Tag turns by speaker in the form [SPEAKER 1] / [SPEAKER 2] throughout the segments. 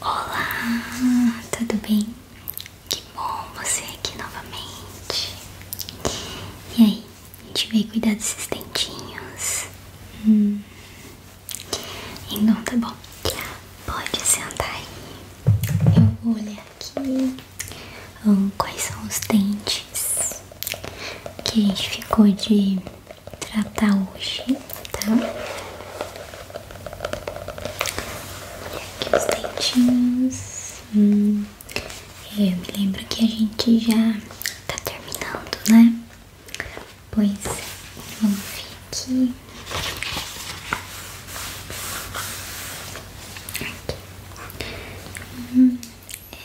[SPEAKER 1] Olá, tudo bem? Que bom você aqui novamente. E aí, a gente veio cuidar desses dentinhos? Hum. Então tá bom. Pode sentar aí. Eu vou olhar aqui hum, quais são os dentes que a gente ficou de tratar hoje, tá? E aqui os dentinhos. Hum. É, eu me lembro que a gente já tá terminando, né? Pois é, vamos ver aqui. Aqui. Hum, é.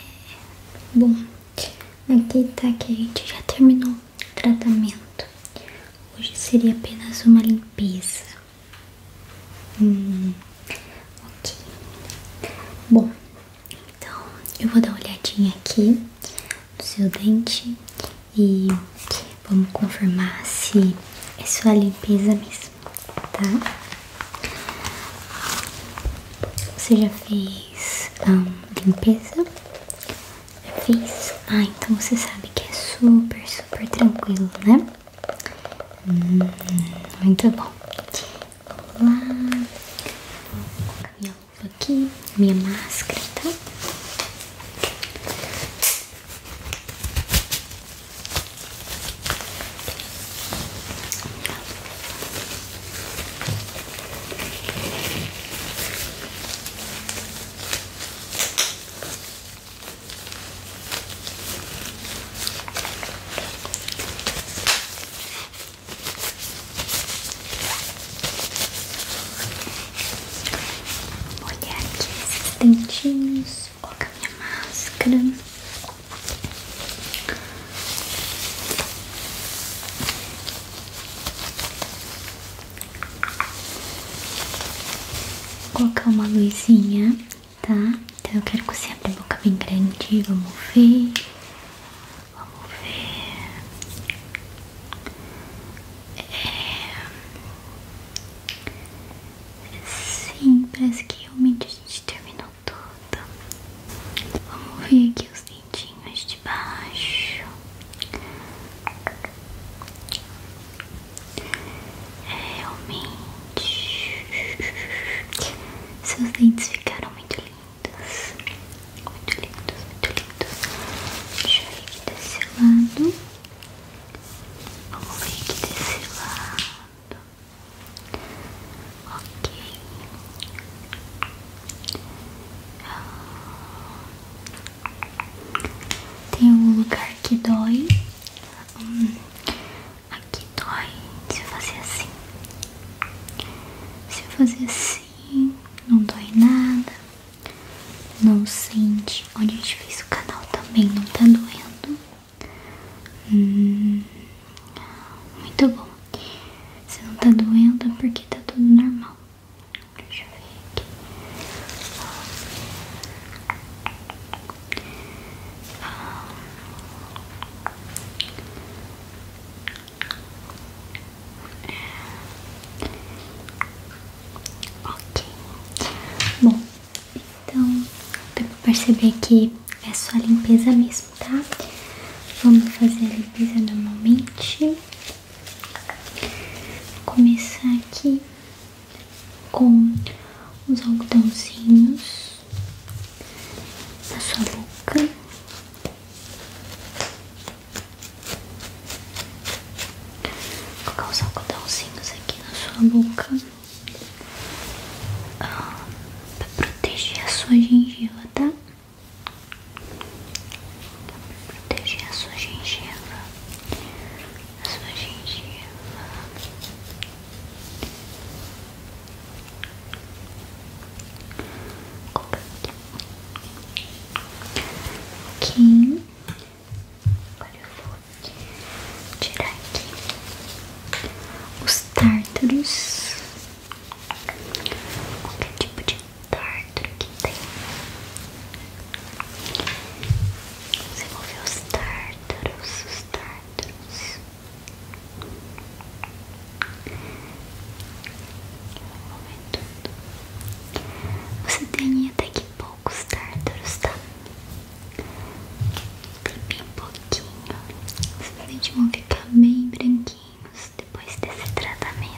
[SPEAKER 1] Bom, aqui tá que a gente já terminou tratamento. Hoje seria apenas uma limpeza. Hum, Bom, então eu vou dar uma olhadinha aqui no seu dente e vamos confirmar se é só a limpeza mesmo, tá? Você já fez a hum, limpeza? Fiz? Ah, então você sabe que é super, super tranquilo, né? Hum, muito bom. Vamos lá. Vou colocar minha luva aqui, minha máscara, tá? Olhar aqui esses dentinhos, colocar minha máscara. Vou colocar uma luzinha, tá? Então eu quero que você abra a boca bem grande. Vamos ver. Vamos ver. É. Sim, parece que realmente a gente terminou tudo. Vamos ver aqui os dentinhos de baixo. Realmente, seus dentes ficaram muito lindos, muito lindos, muito lindos. Deixa eu ver aqui desse lado. Vamos ver aqui desse lado. Ok. Ah. Tem um lugar que dói. Hum, aqui dói. Se eu fazer assim. Se eu fazer assim, não dói nada. Não sente. Onde a gente fez o canal também não tá doendo. Hum, muito bom. Se não tá doendo é porque tá tudo normal. Deixa eu ver aqui. Ok. Bom, então, dá pra perceber que é só limpeza mesmo, tá? Vamos fazer a limpeza normalmente. Vou começar aqui com os algodãozinhos na sua boca. Vou colocar os algodãozinhos aqui na sua boca ah, para proteger a sua gengiva, tá? Pra proteger a sua gengiva sua gengiva. Ok. Agora eu vou tirar aqui os tártaros. Qualquer tipo de tártaro você moveu os tártaros, os tártaros Você tem até que poucos tártaros, tá? Tem um pouquinho Seus dentes vão ficar bem branquinhos depois desse tratamento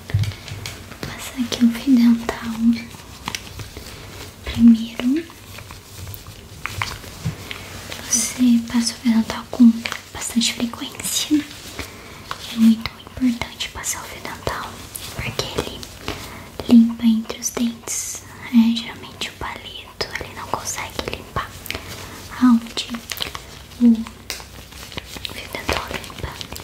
[SPEAKER 1] Vou passar aqui o fio dental primeiro. Você passa o fio dental com bastante frequência. É muito importante passar o fio dental porque ele limpa entre os dentes. É, geralmente o palito ele não consegue limpar aonde o fio dental limpa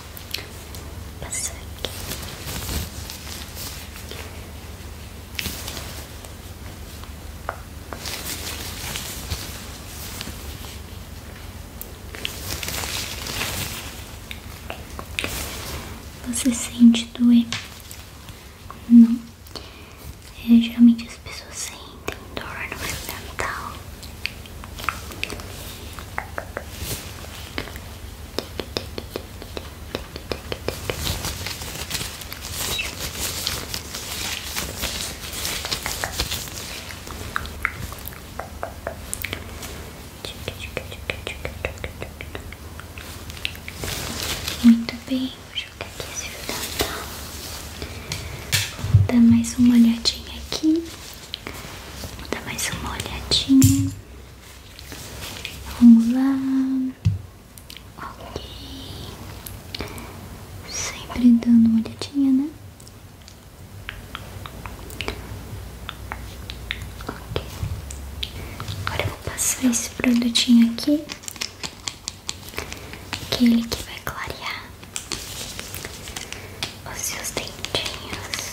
[SPEAKER 1] Passar tá aqui. Você sente doer? Não. É, geralmente as pessoas sentem dor no fio dental. Muito bem, vou jogar aqui esse fio dental. Tá? Vou dar mais uma olhadinha aqui. Vou dar mais uma olhadinha. Vamos lá. Ok. Sempre dando uma olhadinha, né? Ok. Agora eu vou passar esse produtinho aqui. que é ele que vai clarear os seus dentinhos.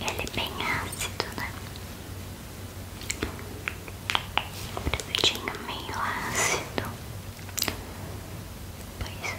[SPEAKER 1] Ele é bem ácido, né? Um produtinho meio ácido. Pois é.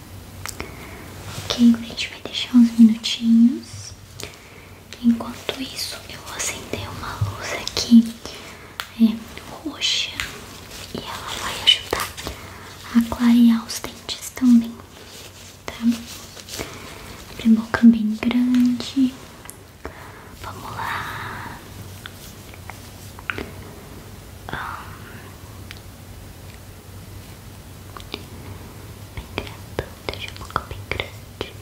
[SPEAKER 1] Ok, a gente vai deixar uns minutinhos. Enquanto isso, eu vou acender uma luz aqui é, roxa e ela vai ajudar a clarear os dentes também, tá? Abre a boca bem grande. Vamos lá. Bem grandão, deixa um pouco bem grande.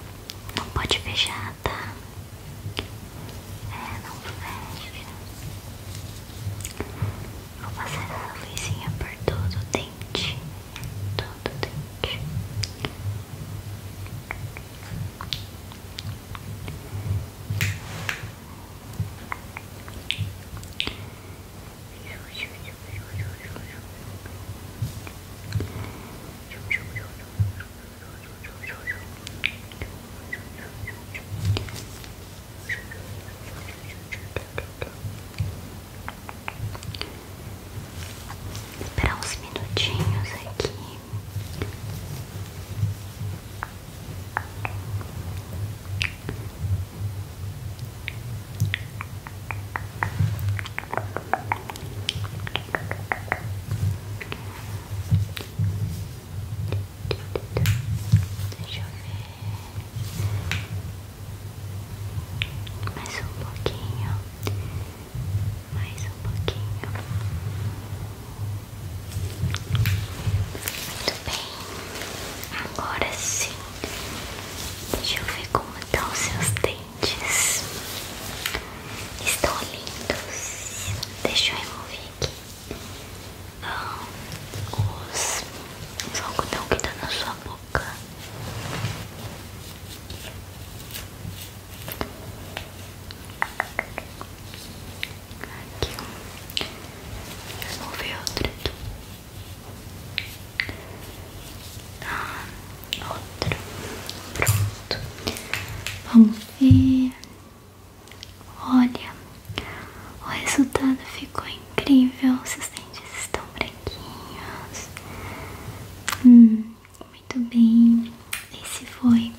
[SPEAKER 1] Não pode fechar, tá? É, não fecha. Vou passar essa luzinha por todo o dente. Todo o dente. Esperar uns minutinhos aqui. Deixa eu ver mais um pouquinho, mais um pouquinho. Muito bem, agora sim. Deixa eu ver como estão os seus dentes. Estão lindos. Deixa eu remover aqui ah, os, os algodão que tá na sua boca. Aqui. Vou ver outro aqui. Ah, outro. Pronto. Vamos ver. Olha, o resultado ficou incrível. Seus dentes estão branquinhos. Hum, muito bem. Esse foi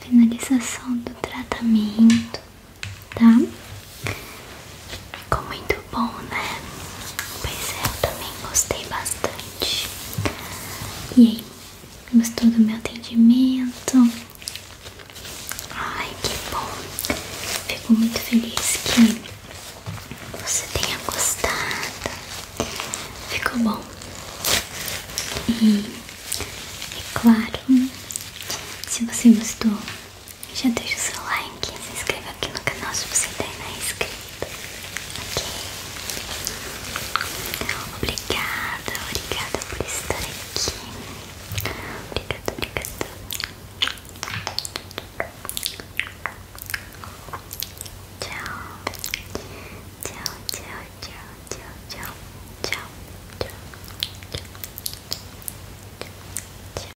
[SPEAKER 1] finalização do tratamento, tá? Ficou muito bom, né? Pois é, eu também gostei bastante. E aí, gostou do meu atendimento? Ai, que bom. Fico muito feliz que você tenha gostado. Ficou bom. E é claro, se você gostou, já deixa o seu like, se inscreva aqui no canal se você ainda não é inscrito. Ok? Então, obrigada, obrigada por estar aqui. Obrigada, obrigada. tchau, tchau, tchau, tchau, tchau, tchau, tchau. tchau.